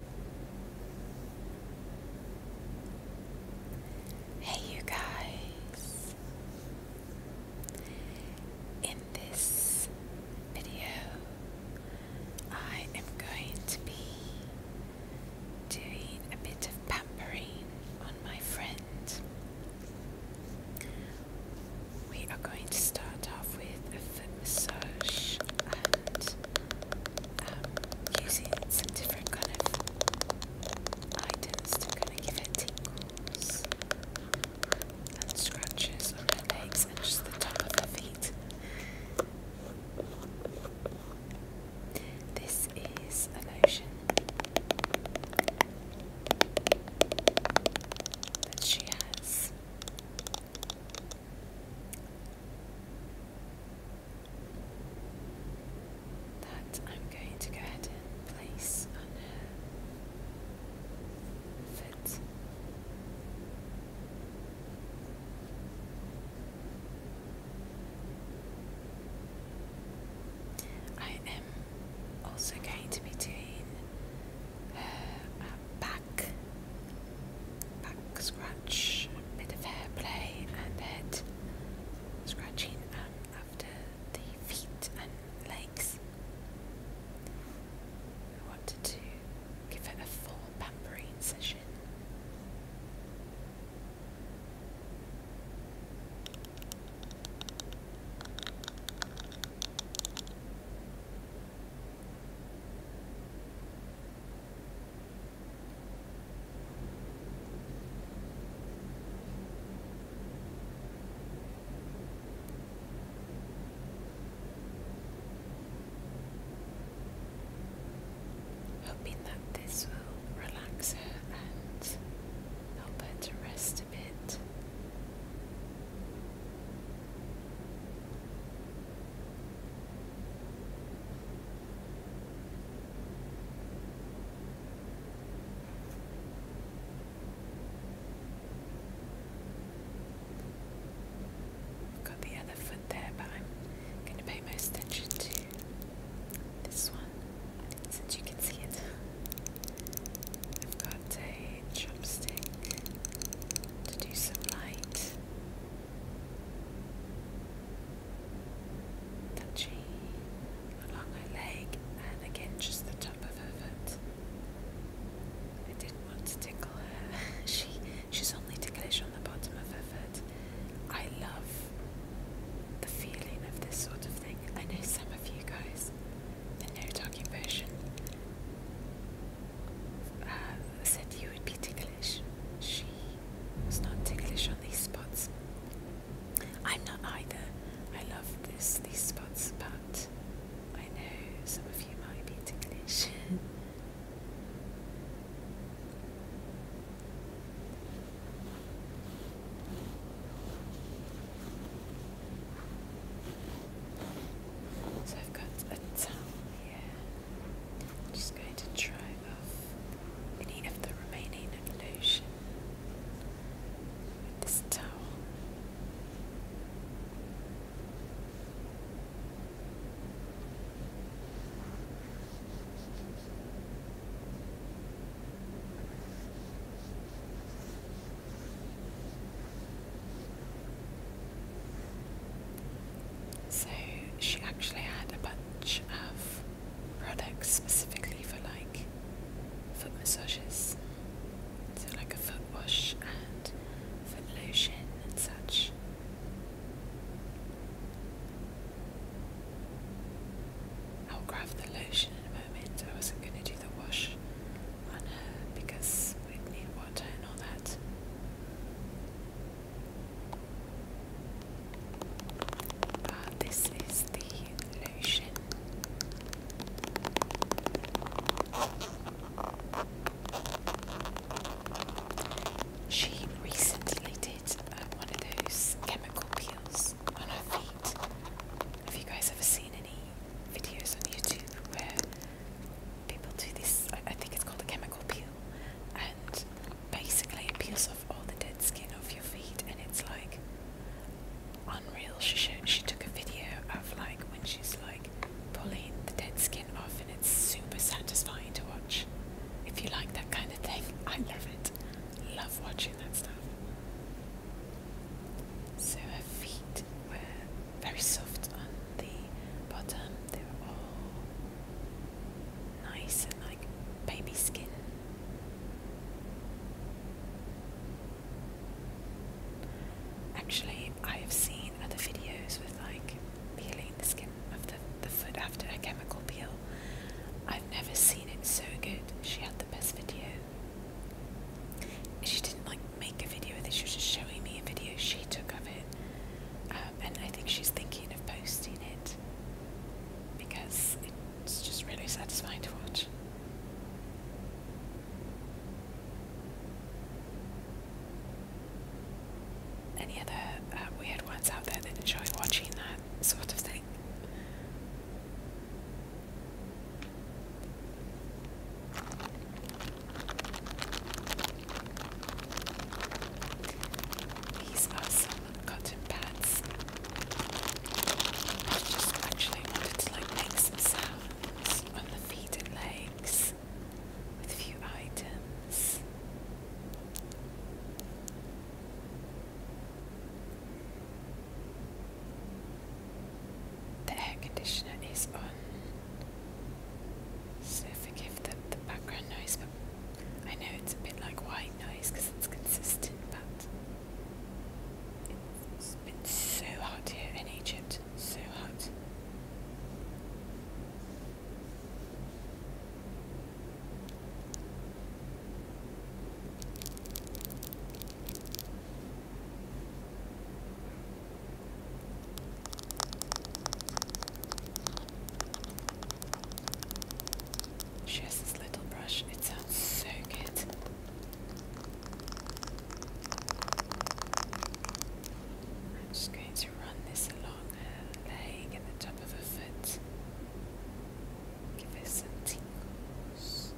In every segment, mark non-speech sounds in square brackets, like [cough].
Hey, you guys! In this video, I am going to be doing a bit of pampering on my friend. We are going to start off with a foot massage and um, using some different kind of items to kind of give it tingles and scratches on her legs and just the top of her feet. This is a lotion that she has that I'm going to go ahead and place on her I am also going to be doing back, back scratch, a bit of hair play and head scratching um, after the feet and legs. I wanted to give it a full pampering session. Hoping that this will relax her and help her to rest a bit i got the other foot there, but I'm going to pay most attention to this one since you can see it. got a chopstick to do some light Touching along her leg and again just the top of her foot. I didn't want to tickle her. [laughs] she she's only ticklish on the bottom of her foot. I love the feeling of this sort of thing. I know some of you guys, the no talking version, uh, said you would be ticklish. She was not ticklish on these spots. I'm not either. I love this these spots, but I know some of you might be ticklish. [laughs] So I've got a towel here. just going to try off any of the remaining lotion with this towel. So she actually had a bunch of products specifically for like foot massages. So like a foot wash and foot lotion and such. I'll grab the lotion in a moment. I wasn't going to do the wash because we need water and all that. Uh, this is the lotion. She recently did uh, one of those chemical peels on her feet. Have you guys ever seen any videos on YouTube where people do this, I think it's called a chemical peel, and basically it peels off all the dead skin off your feet, and it's like unreal. She showed, she took a video of like when she's like pulling the dead skin off, and it's super satisfying to watch. If you like that kind of thing, [laughs] I love it. Love watching that stuff. So her feet were very soft on the bottom. They were all nice and like baby skin. Actually, I have seen other videos with like peeling the skin of the, the foot after a chemical peel. I've never seen it so good. She had the best video. She didn't like make a video of this. She was just showing me a video she took of it, um, and I think she's thinking of posting it because it's just really satisfying to watch. Any other uh, weird ones out there that enjoy watching that sort of thing? These are some cotton pads. I just actually wanted to like make some sounds on the feet and legs with a few items. The air conditioner is on, so forgive the, background noise, but I know it's a bit like white noise because it's consistent, but it's been so hot here in Egypt, so hot. She has this little brush, it sounds so good. I'm just going to run this along her leg and the top of her foot. Give her some tingles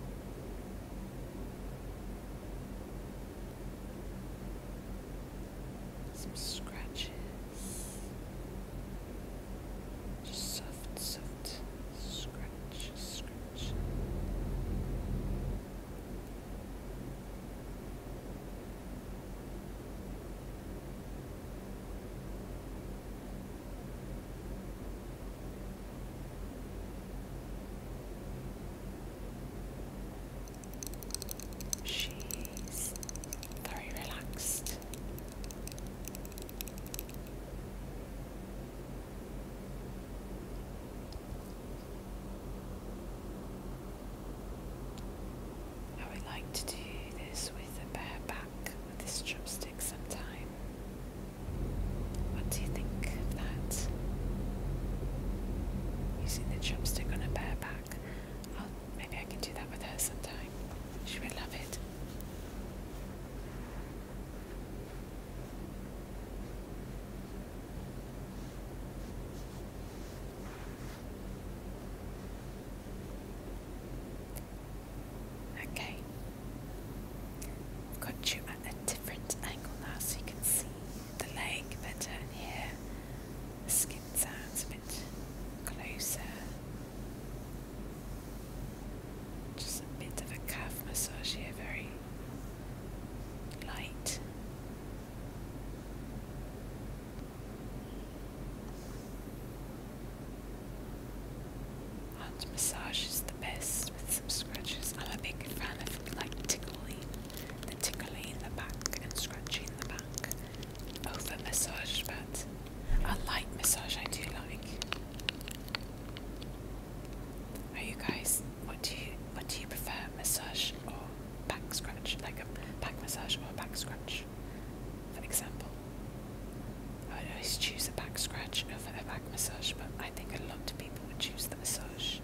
some scratches, soft, soft scratch, scratch. She's very relaxed. I would like to do this with a bare back with this chopstick sometime. What do you think of that? Using the chopstick on a bare back. Oh, maybe I can do that with her sometime. She will love it. Okay, I've got you at a different angle now so you can see the leg better Here, the skin sounds a bit closer. Just a bit of a calf massage here, very light. Hot massage is the best with some scratches. I'm a big fan of like tickling, the tickling in the back and scratching in the back over massage, but a light massage I do like. Are you guys? What do you what do you prefer, massage or back scratch? Like a back massage or a back scratch, for example. I would always choose a back scratch over a massage, but I think a lot of people would choose the massage.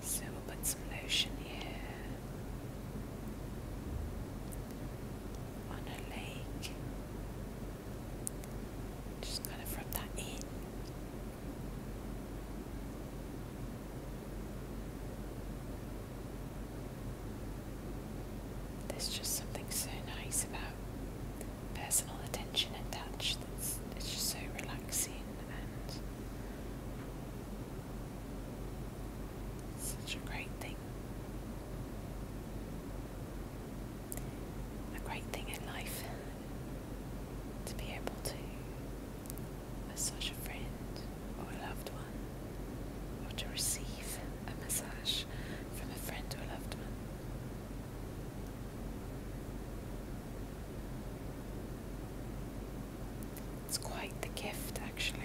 So we'll put some lotion here on her leg. Just kind of rub that in. There's just something so nice about personal attention and touch that's it's just so relaxing and such a great thing. A great thing in life to be able to massage a friend or a loved one or to receive a massage from a friend or loved one. It's quite the gift, actually.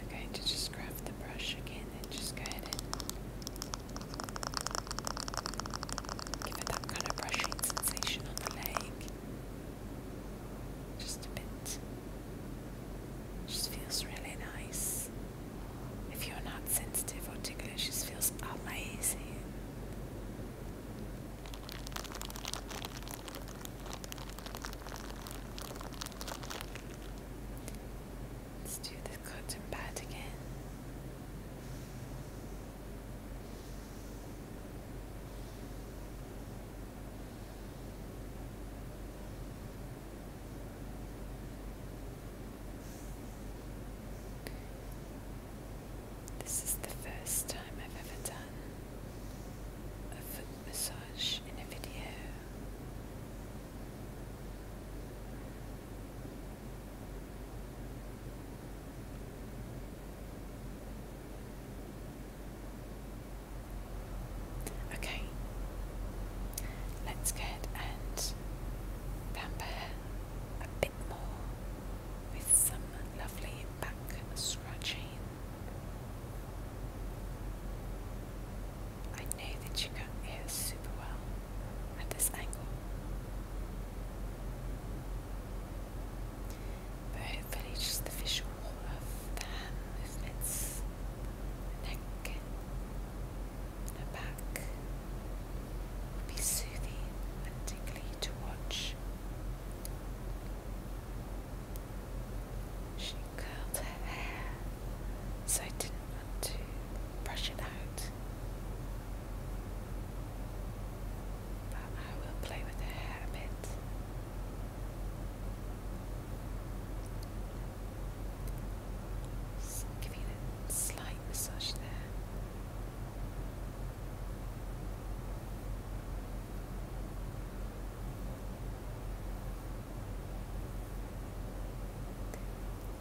I'm going to just grab the brush again and just go ahead and give it that kind of brushing sensation on the leg. Just a bit. Just feels really nice. If you're not sensitive or ticklish, it feels amazing. Let's do the cotton pad again. This is the first time I've ever done a foot massage in a video. Okay, let's go ahead and pamper a bit more with some lovely back scratching. I know that you can hear super well at this angle, hopefully, just the visual of the hand movements, the neck, the back, be soothing and to watch. She curled her hair, so I didn't want to brush it out. But I will play with her a bit. Just giving a slight massage there.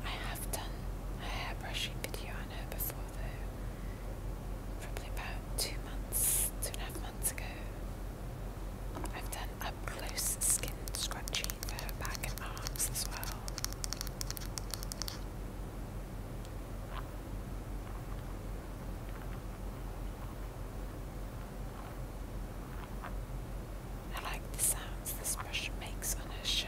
I have done a hairbrushing video on her before though, probably about two months, two and a half months ago. I've done up close skin scratching for her back and arms as well. I like the sounds this brush makes on her shirt.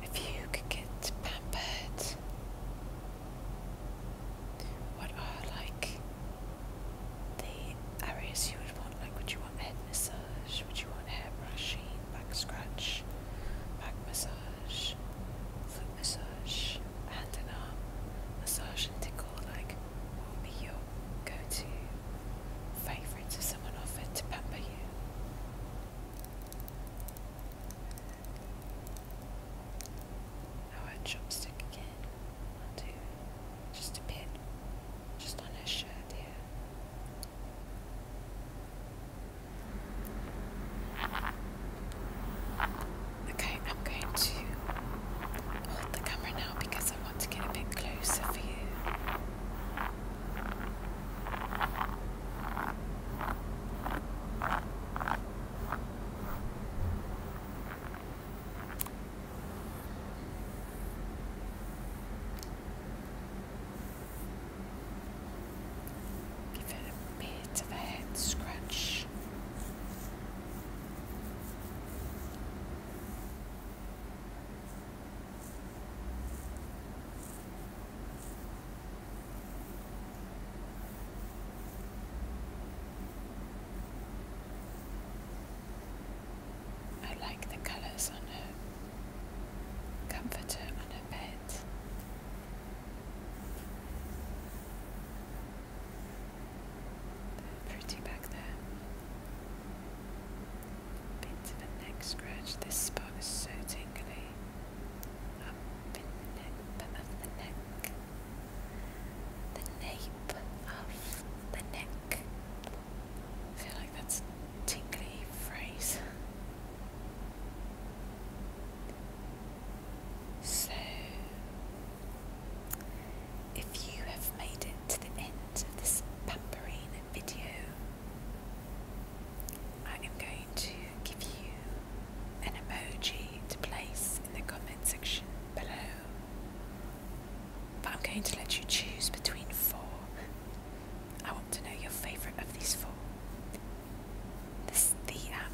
If you could get pampered, what are like the areas you would want? Like, would you want head massage? Would you want hair brushing, back scratch, back massage? massage, foot massage, hand and arm massage and tickle like will be your go-to favorite. if someone offered to pamper you. Now oh, a chopstick again. i do just a bit, just on her shirt here. Okay, I'm going to hold the camera now because I want to get a bit closer for you. Give it a bit of a head scratch. I like the colours on her comforter on bit. pretty back there. Bit of a neck scratch. This spot is so tingly. Up in the nape of the neck. The nape of the neck. feel like that's tingly phrase. So, if you have made it to the end of this pamperine video, I am going to give you an emoji to place in the comment section below. But I'm going to let you choose between four I want to know your favourite of these four. This, the um,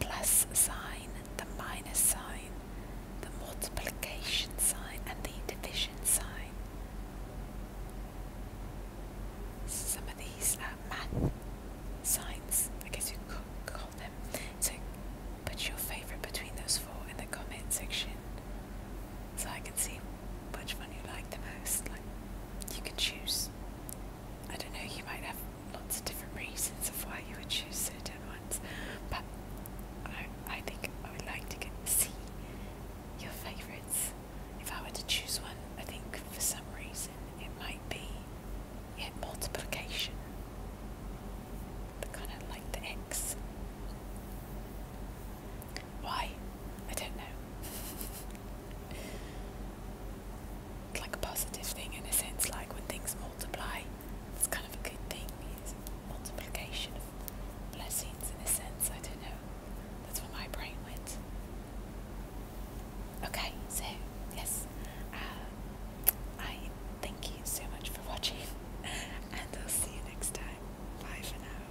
plus sign, the minus sign, the multiplication sign, and the division sign. Some of these math signs, I guess you could call them. So put your favourite between those four in the comment section so I can see which one you like the most you could choose. I don't know, you might have lots of different reasons of why you would choose certain ones, but I, I think I would like to get see your favourites. If I were to choose one, I think for some reason it might be multiplication. The kind of like the X. Why? I don't know. it's like a positive thing in a sense, like when things multiply, it's kind of a good thing. It's multiplication of blessings in a sense, I don't know. That's where my brain went. Okay, so, yes. Uh, I thank you so much for watching, [laughs] and I'll see you next time. Bye for now.